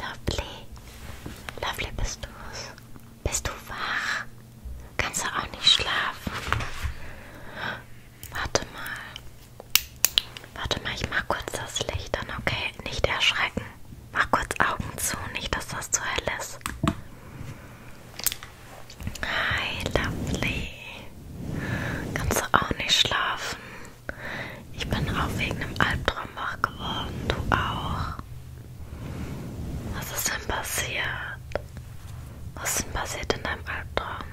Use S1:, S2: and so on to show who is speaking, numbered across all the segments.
S1: Lovely. Lovely bist du's. Bist du wach? Kannst du auch nicht schlafen? Warte mal. Warte mal, ich mach kurz das Licht an, okay? Nicht erschrecken. Mach kurz Augen zu, nicht, dass das zu hell ist. Hi, Lovely. Kannst du auch nicht schlafen? Ich bin auch wegen einem Albtraum wach geworden. Du auch. Was ist denn passiert? Was ist denn passiert in deinem Albtraum?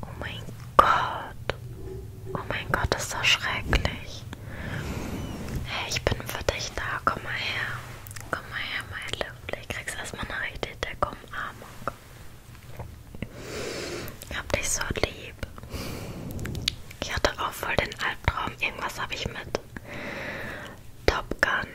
S1: Oh mein Gott. Oh mein Gott, ist das schrecklich. Hey, ich bin für dich da. Komm mal her. Komm mal her, mein Löffel. Ich krieg's erstmal eine richtige Decke Umarmung. Oh ich hab dich so lieb. Ich hatte auch voll den Albtraum. Irgendwas habe ich mit Top Gun,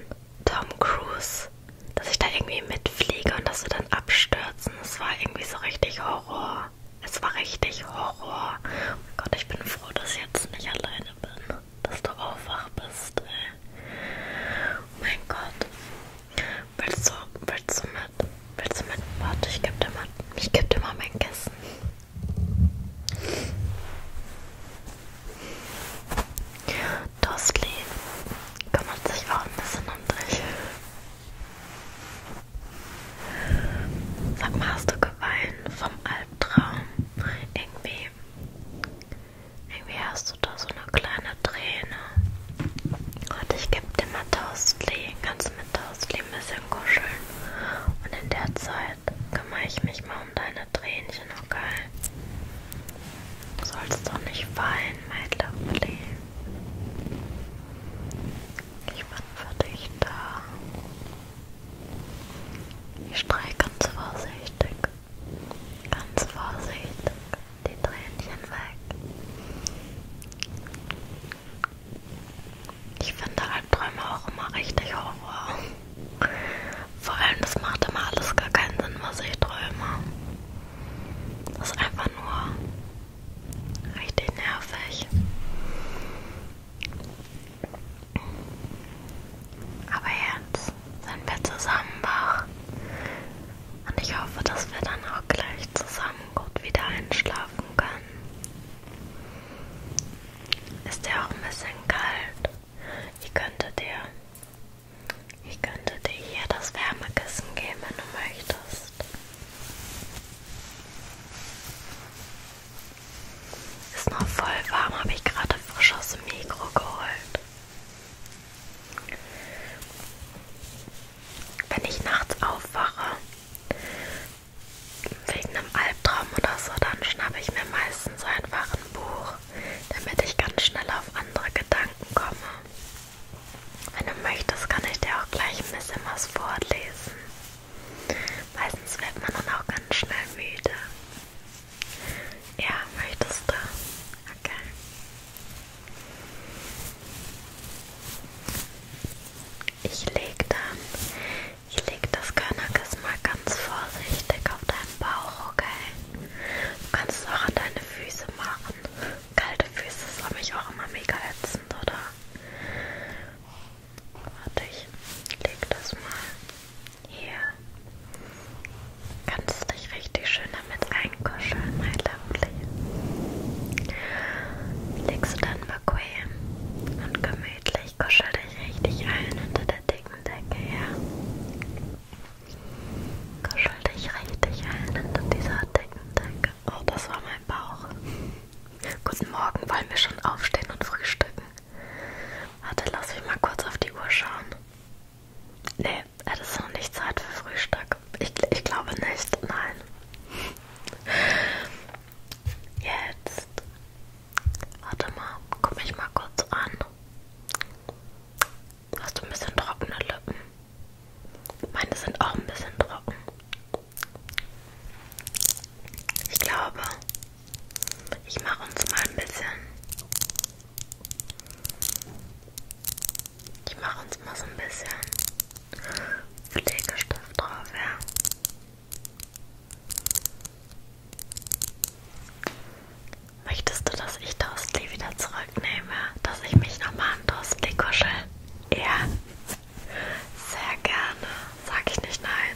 S1: Tom Cruise, dass ich da irgendwie mitfliege und dass wir dann abstürzen. Es war irgendwie so richtig Horror. Es war richtig Horror. Oh Gott, ich bin froh, dass ich jetzt nicht alleine bin. Dass du auch wach bist, ey. Oh mein Gott. Willst du, willst du mit? Willst du mit? Warte, ich geb dir mal, ich geb dir mal mein Kissen. Dostli kümmert sich auch ein bisschen um dich. Sag mal, hast du geweint vom Albtraum? Irgendwie irgendwie hast du da so eine kleine Träne. Und ich gebe dir mal Taustley. Kannst du mit Taustley ein bisschen kuscheln? Und in der Zeit kümmere ich mich mal um deine Tränchen, okay? Du sollst doch nicht weinen, mein Lovely. Ich bin für dich da. Ich streiche ganz vorsichtig Ganz vorsichtig die Tränchen weg. Ich finde Albträume auch immer richtig Horror. Vor allem, das macht immer alles gar keinen Sinn, was ich träume. Das ist einfach nur richtig nervig. Aber jetzt sind wir zusammen wach. Und ich hoffe, dass wir dann auch gleich zusammen gut wieder einschlafen können. Ist ja auch ein bisschen kalt. Ich könnte dir, ich könnte dir hier das Wärmekissen geben, wenn du möchtest. Ist noch voll warm, habe ich gerade frisch aus dem Mikro geholt. Wenn ich nachts aufwache, wegen einem Albtraum oder so, dann schnappe ich mir meistens einfach ein Buch, damit ich ganz schnell auf andere Gedanken komme. Wenn du möchtest, kann ich dir auch gleich ein bisschen was vorlesen. Meistens wird man dann auch ganz schnell müde. Ja, möchtest du? Okay. Ich leg dann, ich leg das Körnerkissen mal ganz vorsichtig auf deinen Bauch, okay? Du kannst es auch an deine Füße machen. Kalte Füße ist für mich auch immer mega ätzend, oder? Warte, ich leg das mal hier kannst du dich richtig schön damit einkuscheln, mein Lovely. Legst du dann bequem und gemütlich, kuschel dich richtig ein unter der dicken Decke her. Ja. Kuschel dich richtig ein unter dieser dicken Decke. Oh, das war mein Bauch. Guten Morgen, wollen wir schon aufstehen und frühstücken? Warte, lass mich mal kurz auf die Uhr schauen. Nee, das ist noch nicht Zeit für Frühstück. Ich, ich glaube nicht, nein. Jetzt. Warte mal, guck mich mal kurz an. Hast du ein bisschen trockene Lippen? Meine sind auch ein bisschen trocken. Ich glaube, ich mache uns mal ein bisschen. Ich mache uns mal so ein bisschen Pflegestift drauf, ja. Möchtest du, dass ich Dostli wieder zurücknehme? Dass ich mich nochmal an Dostli kuschel? Ja. Sehr gerne. Sag ich nicht nein.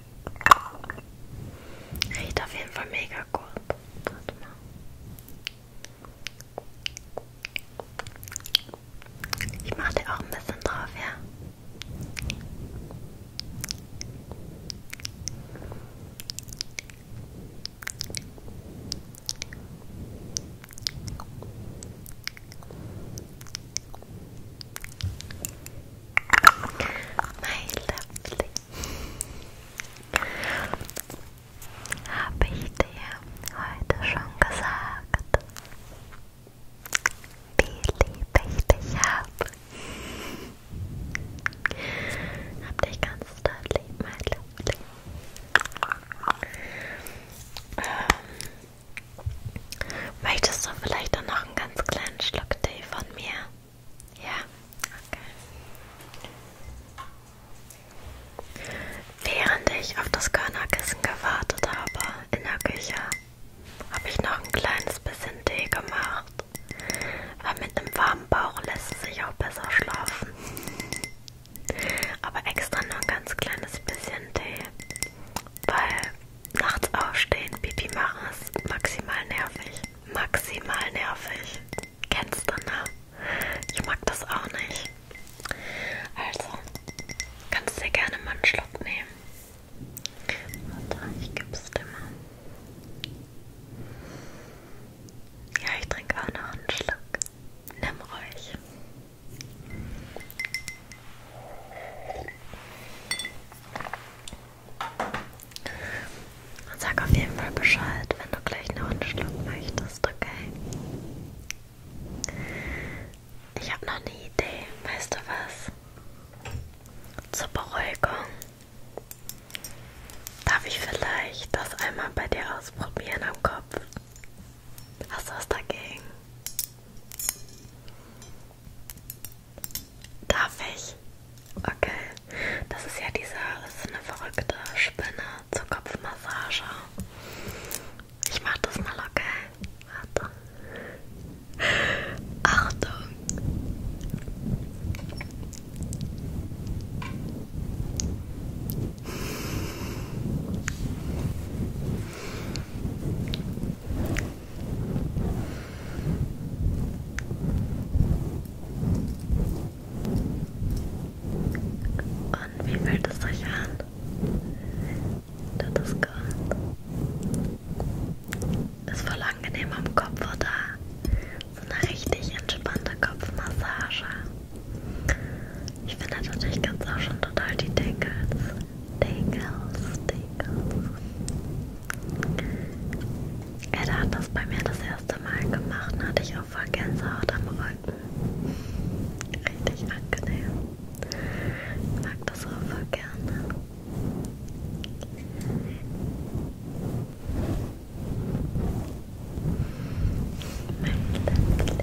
S1: Riecht auf jeden Fall mega gut. Warte mal. Ich mache dir auch ein bisschen drauf, ja. My lovely. Habe ich dir heute schon gesagt, wie lieb ich dich habe? Hab dich ganz doll lieb, mein Lovely. Ähm, möchtest du vielleicht dann noch ein ganz kleines einen Schluck Tee von mir? Ja, okay. Während ich auf das Körnerkissen gewartet habe in der Küche, habe ich noch ein kleines bisschen Tee gemacht. Weil mit einem warmen Bauch lässt es sich auch besser schlafen. Aber extra nur ein ganz kleines bisschen Tee, weil Nachts aufstehen, Pipi machen ist maximal nervig. Maximal nervig. Kennst du, ne? Ich mag das auch nicht. Also, kannst dir gerne mal einen Schluck nehmen. Warte, ich geb's dir mal. Ja, ich trinke auch noch einen Schluck. Nimm ruhig. Und sag auf jeden Fall Bescheid, wenn du gleich noch einen Schluck möchtest, okay? Ich habe noch eine Idee, weißt du was? Zur Beruhigung darf ich vielleicht das einmal bei dir ausprobieren am Kopf. Hast du was dagegen? Darf ich? Okay. Das ist ja diese, das ist eine verrückte Spinne zur Kopfmassage. Ich mach das mal, okay? Warte. Achtung. Und wie fühlt es euch an? Tut es gut? Ist voll angenehm am Kopf, oder? So eine richtig entspannte Kopfmassage. Ich finde natürlich ganz auch schon total die Tickets. Tickles, Tickles. Er ja, hat das bei mir das erste Mal gemacht, und hatte ich auch voll Gänsehaut am Rücken. Richtig angenehm. Ich mag das auch voll gerne. Mein Ländchen.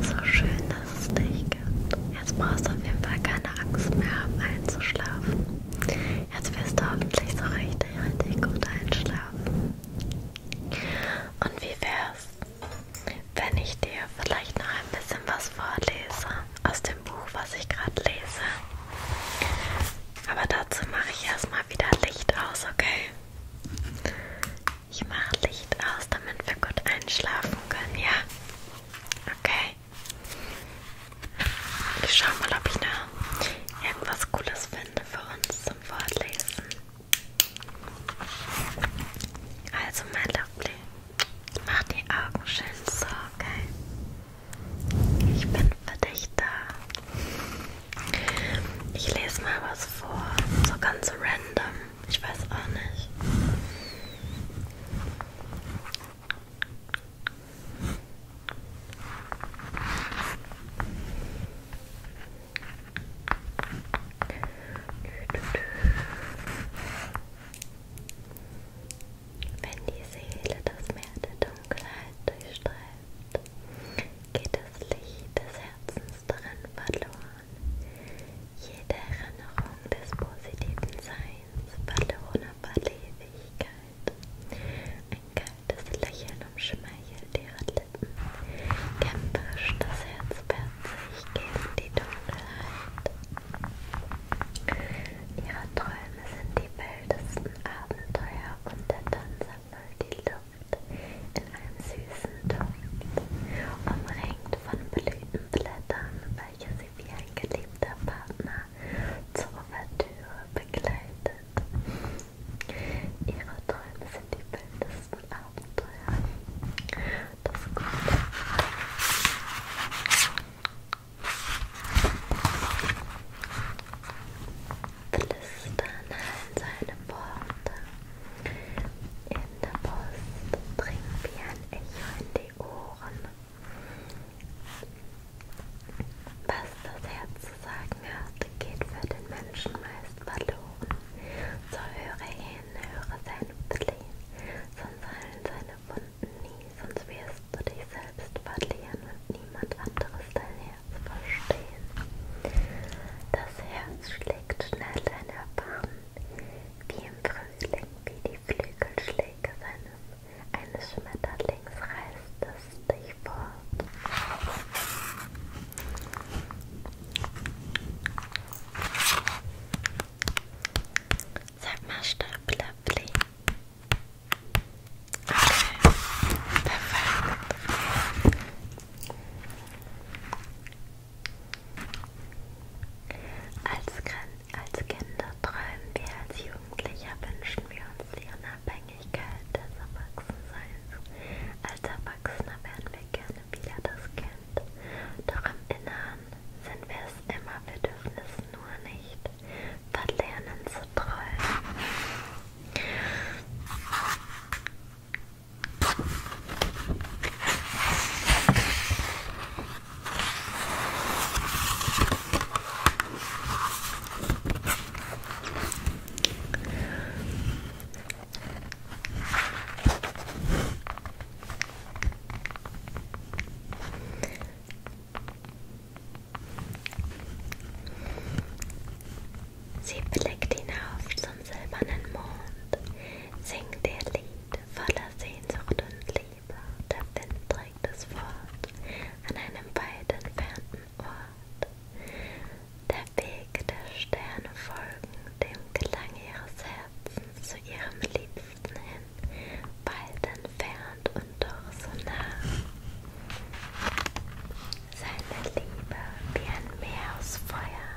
S1: So schön, dass es dich gibt. Jetzt brauchst du auf jeden Fall keine Angst mehr haben, einzuschlafen. Jetzt wirst du hoffentlich so richtig, richtig gut einschlafen. Und wie wär's, wenn ich dir vielleicht noch ein bisschen was vorlese aus dem Buch, was ich gerade lese? Aber dazu mache ich erstmal wieder Licht aus, okay? Ich mache Licht aus, damit wir gut einschlafen können, ja? Okay. Ich schau mal, ob ich noch irgendwas Cooles finde für uns zum Vorlesen. Also, mein Lovely, mach die Augen schön zu, okay? Ich bin für dich da. Ich lese mal was vor, so ganz random. Ich weiß auch nicht. Wenn die Seele das Meer der Dunkelheit durchstreift, geht das Licht des Herzens darin verloren, jede Erinnerung des positiven Seins, verlorener Verlebigkeit. Ein kaltes Lächeln umschmeichelt ihre Lippen, kämpferisch das Herz wehrt sich gegen die Dunkelheit. Ihre Träume sind die wildesten Abenteuer und der Tanz einmal die Luft in einem süßen Duft, umringt von Blütenblättern, welche sie wie ein geliebter Partner zur Ouvertüre begleitet. Ihre Träume sind die wildesten Abenteuer. Das Gute flüstern allen seine Worte. In der Brust dringt wie ein Echo in die Ohren. Was das Herz zu sagen hat, geht für den Menschen meist verloren. So höre hin, höre sein Flehen, sonst heilen seine Wunden nie, sonst wirst musst du dich selbst verlieren und niemand anderes dein Herz verstehen. Das Herz schlägt schnell in Erbarmen, wie im Frühling, wie die Flügelschläge seines, eines Schmetterlings reißt es dich fort. Sag mal, Stapler, Okay. Perfekt. Als, als Kinder träumen wir, als Jugendlicher wünschen wir uns die Unabhängigkeit des Erwachsenseins. Als Erwachsener werden wir gerne wieder das Kind. Doch im Inneren sind wir es immer, wir dürfen es nur nicht. Das Lernen so toll. Sie blickt hinauf zum silbernen Mond, singt ihr Lied voller Sehnsucht und Liebe. Der Wind trägt es fort an einem weit entfernten Ort. Der Weg der Sterne folgen dem Klang ihres Herzens zu ihrem Liebsten hin, weit entfernt entfernt und doch so nah. Seine Liebe wie ein Meer aus Feuer,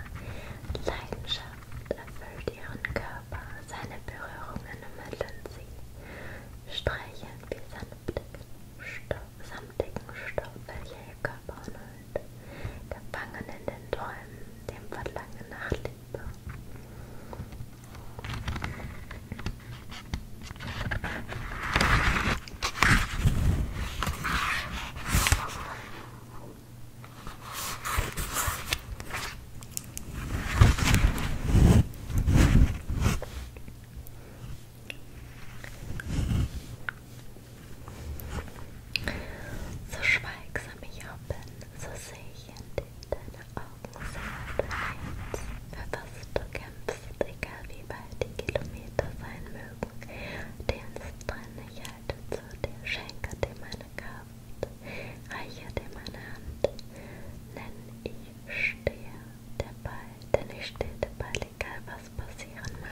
S1: Leidenschaft erfüllt ihren Körper, seine Berührungen ermitteln sie, streichen wie sanftigen Stoff, samtigen Stoff, welcher ihr Körper umhüllt, gefangen in den Träumen, dem Verlangen nach Liebe. So schweigsam ich auch bin, so sehe ich in deine Augen sehr bereit, für was du kämpfst, egal wie weit die Kilometer sein mögen. Dienstrenne, ich halte zu dir, schenke dir meine Kraft, reiche dir meine Hand, denn ich stehe dabei, denn ich stehe dabei, egal was passieren mag.